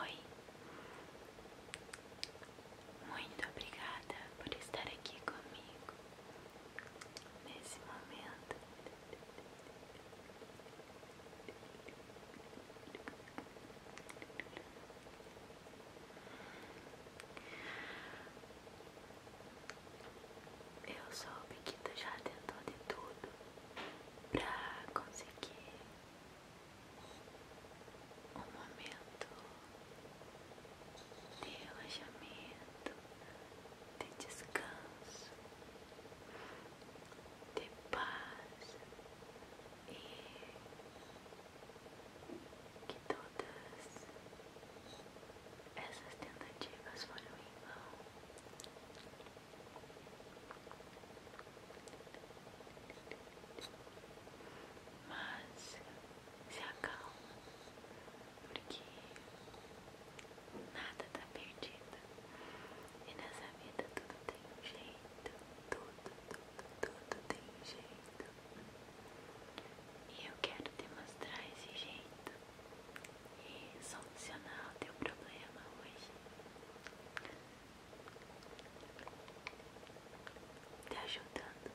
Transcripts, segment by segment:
Oi, muito obrigada por estar aqui comigo nesse momento. Eu soube que tu já tentou de tudo pra conseguir um momento de relaxamento, de descanso de paz e que todas essas tentativas foram em vão. Mas se acalma, porque nada está perdido e nessa vida tudo tem um jeito jeito, tudo, tudo, tudo tem jeito. E eu quero te mostrar esse jeito e solucionar o teu problema hoje. Te tá ajudando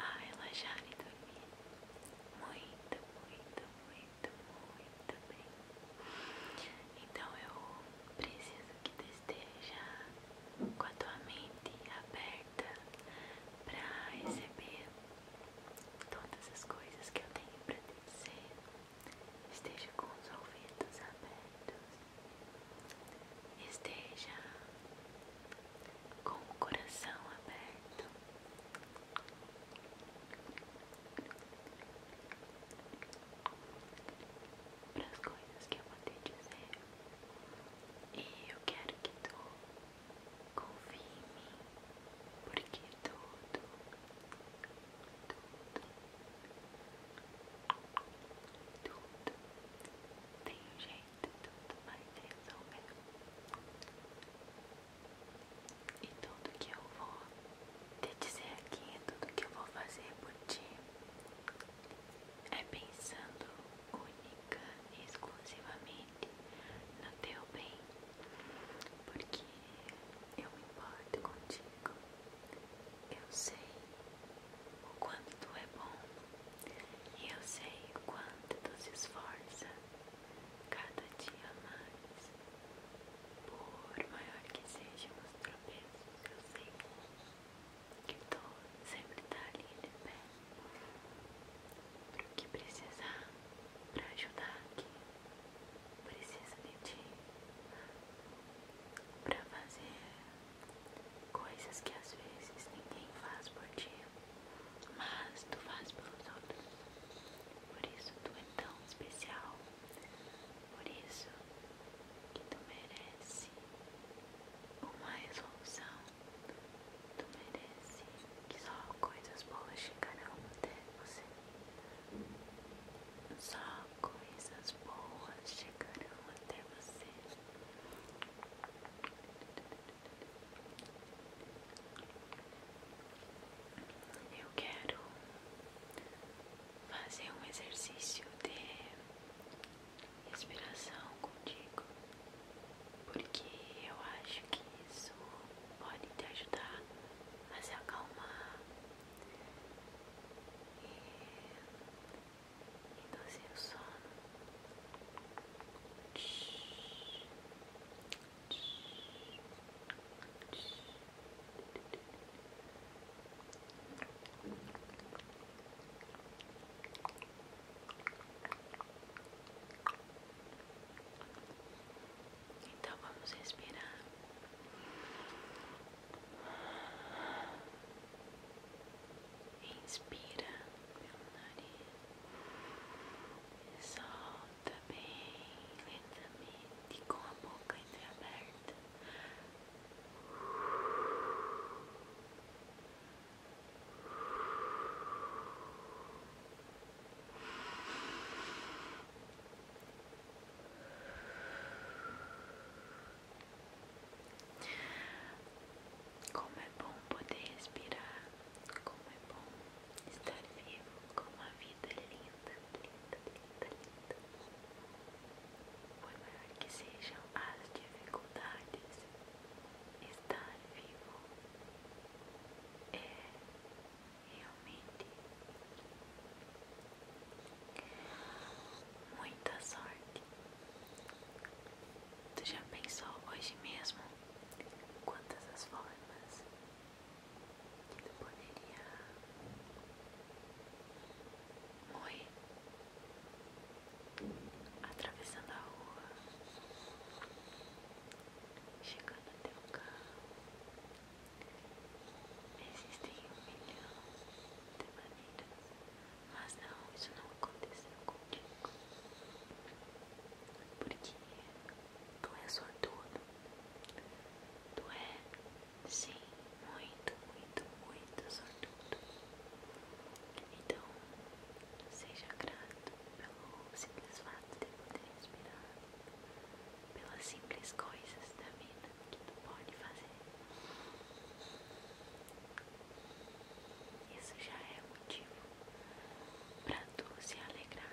a já lhe dormir muito, muito, muito, muito bem. Então eu preciso que tu esteja com a tua mente aberta para receber todas as coisas que eu tenho para te dizer. Esteja com os ouvidos abertos. Esteja com o coração aberto para as coisas que eu vou te dizer. E eu quero que tu confie porque tudo, tudo, tudo tem um jeito, tudo vai resolver. E tudo que eu vou te dizer aqui tudo que eu vou fazer por ti é pensando única e exclusivamente no teu bem, porque eu me importo contigo, eu sei o quanto tu é bom e eu sei o quanto tu se esforça cada dia mais por maior que sejam os tropeços, que eu sei que todo sempre tá ali de pé o que precisar pra ajudar quem precisa de ti, pra fazer coisas que às vezes ninguém faz por ti, mas tu faz pelos outros. Por isso tu é tão especial. Por isso que tu merece uma resolução. Tu merece que só coisas boas chegarão até você. Só coisas boas chegarão até você eu quero fazer um exercício de respiração contigo, porque eu acho que isso pode te ajudar a se acalmar e doce o sono. Shhh, shhh. Então vamos respirar. Inspira pelo nariz. Solta solta bem lentamente com a boca entreaberta. Como é bom poder respirar, como é bom estar vivo, como a vida é linda linda, linda, linda. Por maior que sejam as dificuldades, estar vivo é realmente muita sorte. Tu já pensou hoje mesmo quantas as formas eu poderia. Oi, atravessando a rua, chegando até o carro. Existem um milhão de maneiras, mas não, isso não aconteceu comigo Porque tu é sortudo. Tu é, sim, muito, muito, muito sortudo. Então, seja grato pelo simples fato de poder respirar, pelas simples coisas da vida que tu pode fazer. Isso já é motivo para tu se alegrar.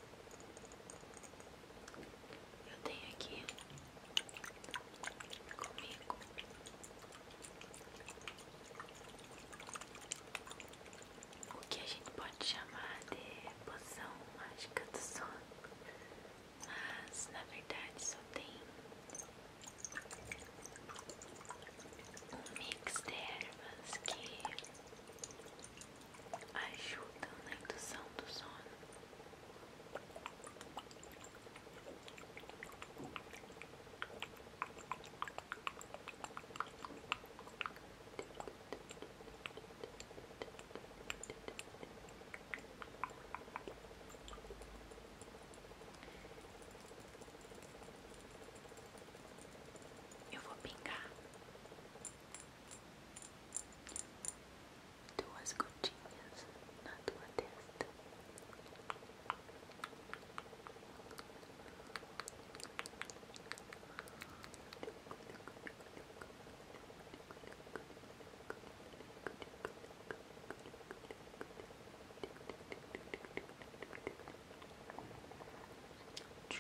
Eu tenho aqui comigo o que a gente pode chamar de poção mágica do sono, mas na verdade só tem um mix de ervas que ajudam na indução do sono eu vou pingar duas gotinhas na tua testa.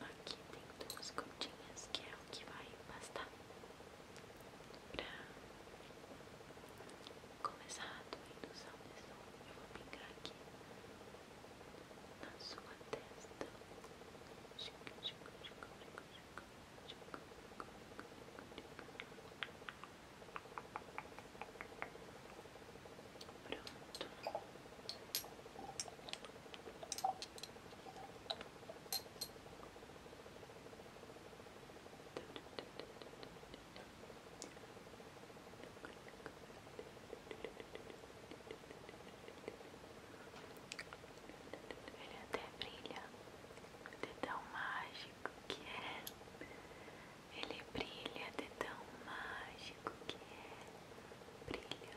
Aqui tem duas gotinhas que é o que vai bastar pra começar a tua indução de Eu vou pingar aqui na sua testa. Muito Pronto. Ele até brilha, de tão mágico que é. Ele brilha de tão mágico que é. Brilha,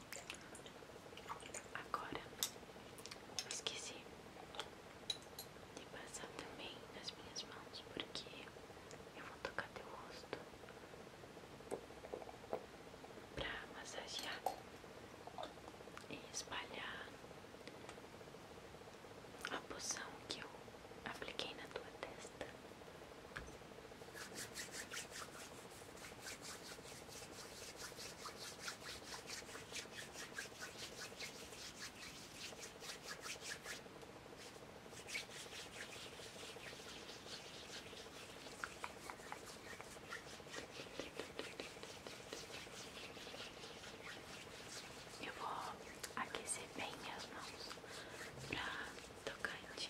Agora esqueci de passar também nas minhas mãos porque eu vou tocar teu rosto para massagear e espalhar a poção que eu apliquei na tua testa. Eu vou aquecer bem as mãos pra tocante.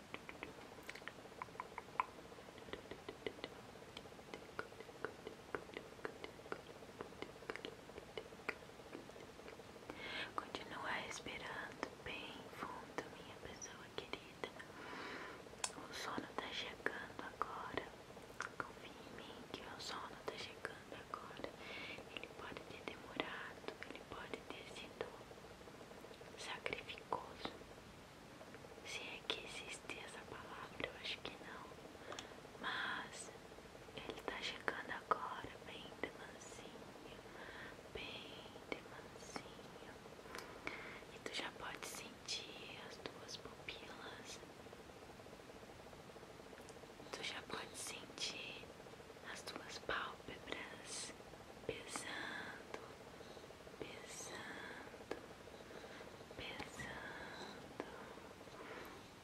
Continua esperando bem fundo, minha pessoa querida. O sono está chegando agora. Confie em mim que o sono está chegando agora. Ele pode ter demorado, ele pode ter sido sacrificoso. Se é que existe essa palavra, eu acho que não. Mas ele tá chegando agora, bem demansinho, bem demansinho. E tu já pode sentir as tuas pupilas. Tu já pode sentir as tuas pálpebras, pesando, pesando, pesando, pesando,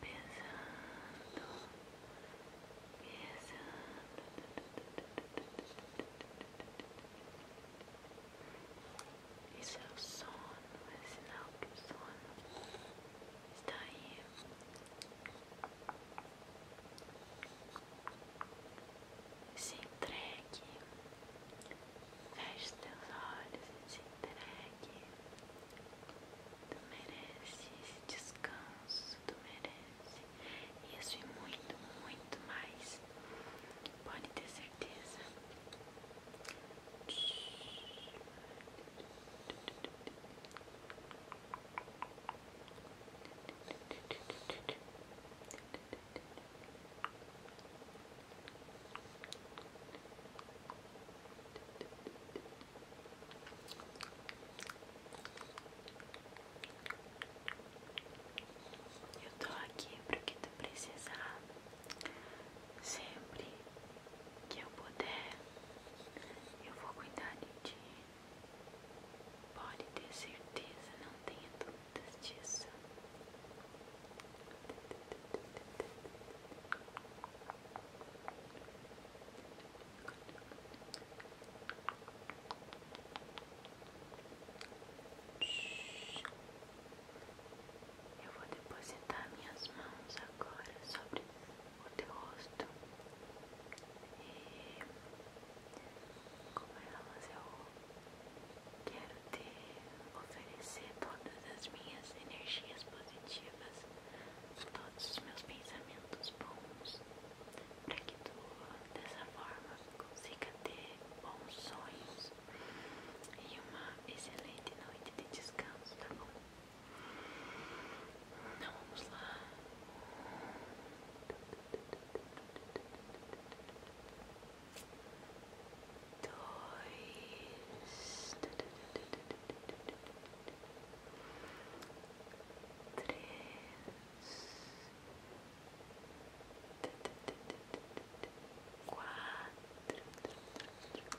pesando. pesando, Isso é o sono, é sinal que o sono está aí. Se entregue, feche teus olhos e se entregue. Tu merece esse descanso, tu merece isso e muito, muito mais. Pode ter certeza. Eu tô aqui pro que tu precisar sempre que eu puder. Eu vou cuidar de ti. Pode ter certeza, não tenha dúvidas disso. Eu vou depositar minhas mãos agora sobre o teu rosto e com elas é, eu quero te oferecer todas as minhas energias positivas, todos os meus pensamentos bons, para que tu dessa forma consiga ter bons sonhos e uma excelente noite de descanso, tá bom? Então vamos lá dois, três, quatro. Cinco,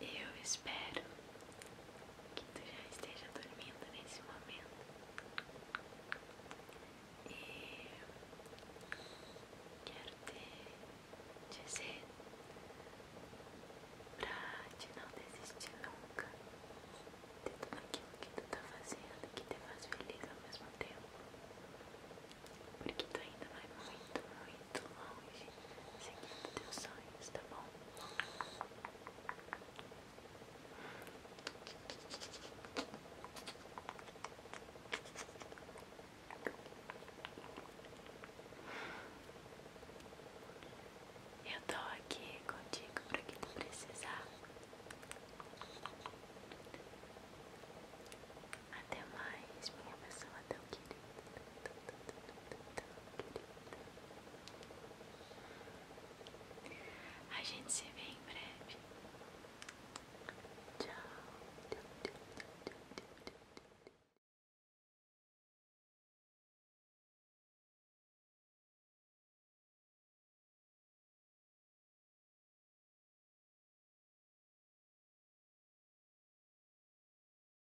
Eu espero que tu já esteja dormindo nesse momento e quero te dizer pra te não desistir nunca de tudo aquilo que tu tá fazendo que te faz feliz ao mesmo tempo porque tu ainda vai muito, muito longe seguindo teus sonhos, tá bom? Eu estou aqui contigo para que tu precisar. Até mais, minha pessoa até tão a gente se vê em breve. Tchau.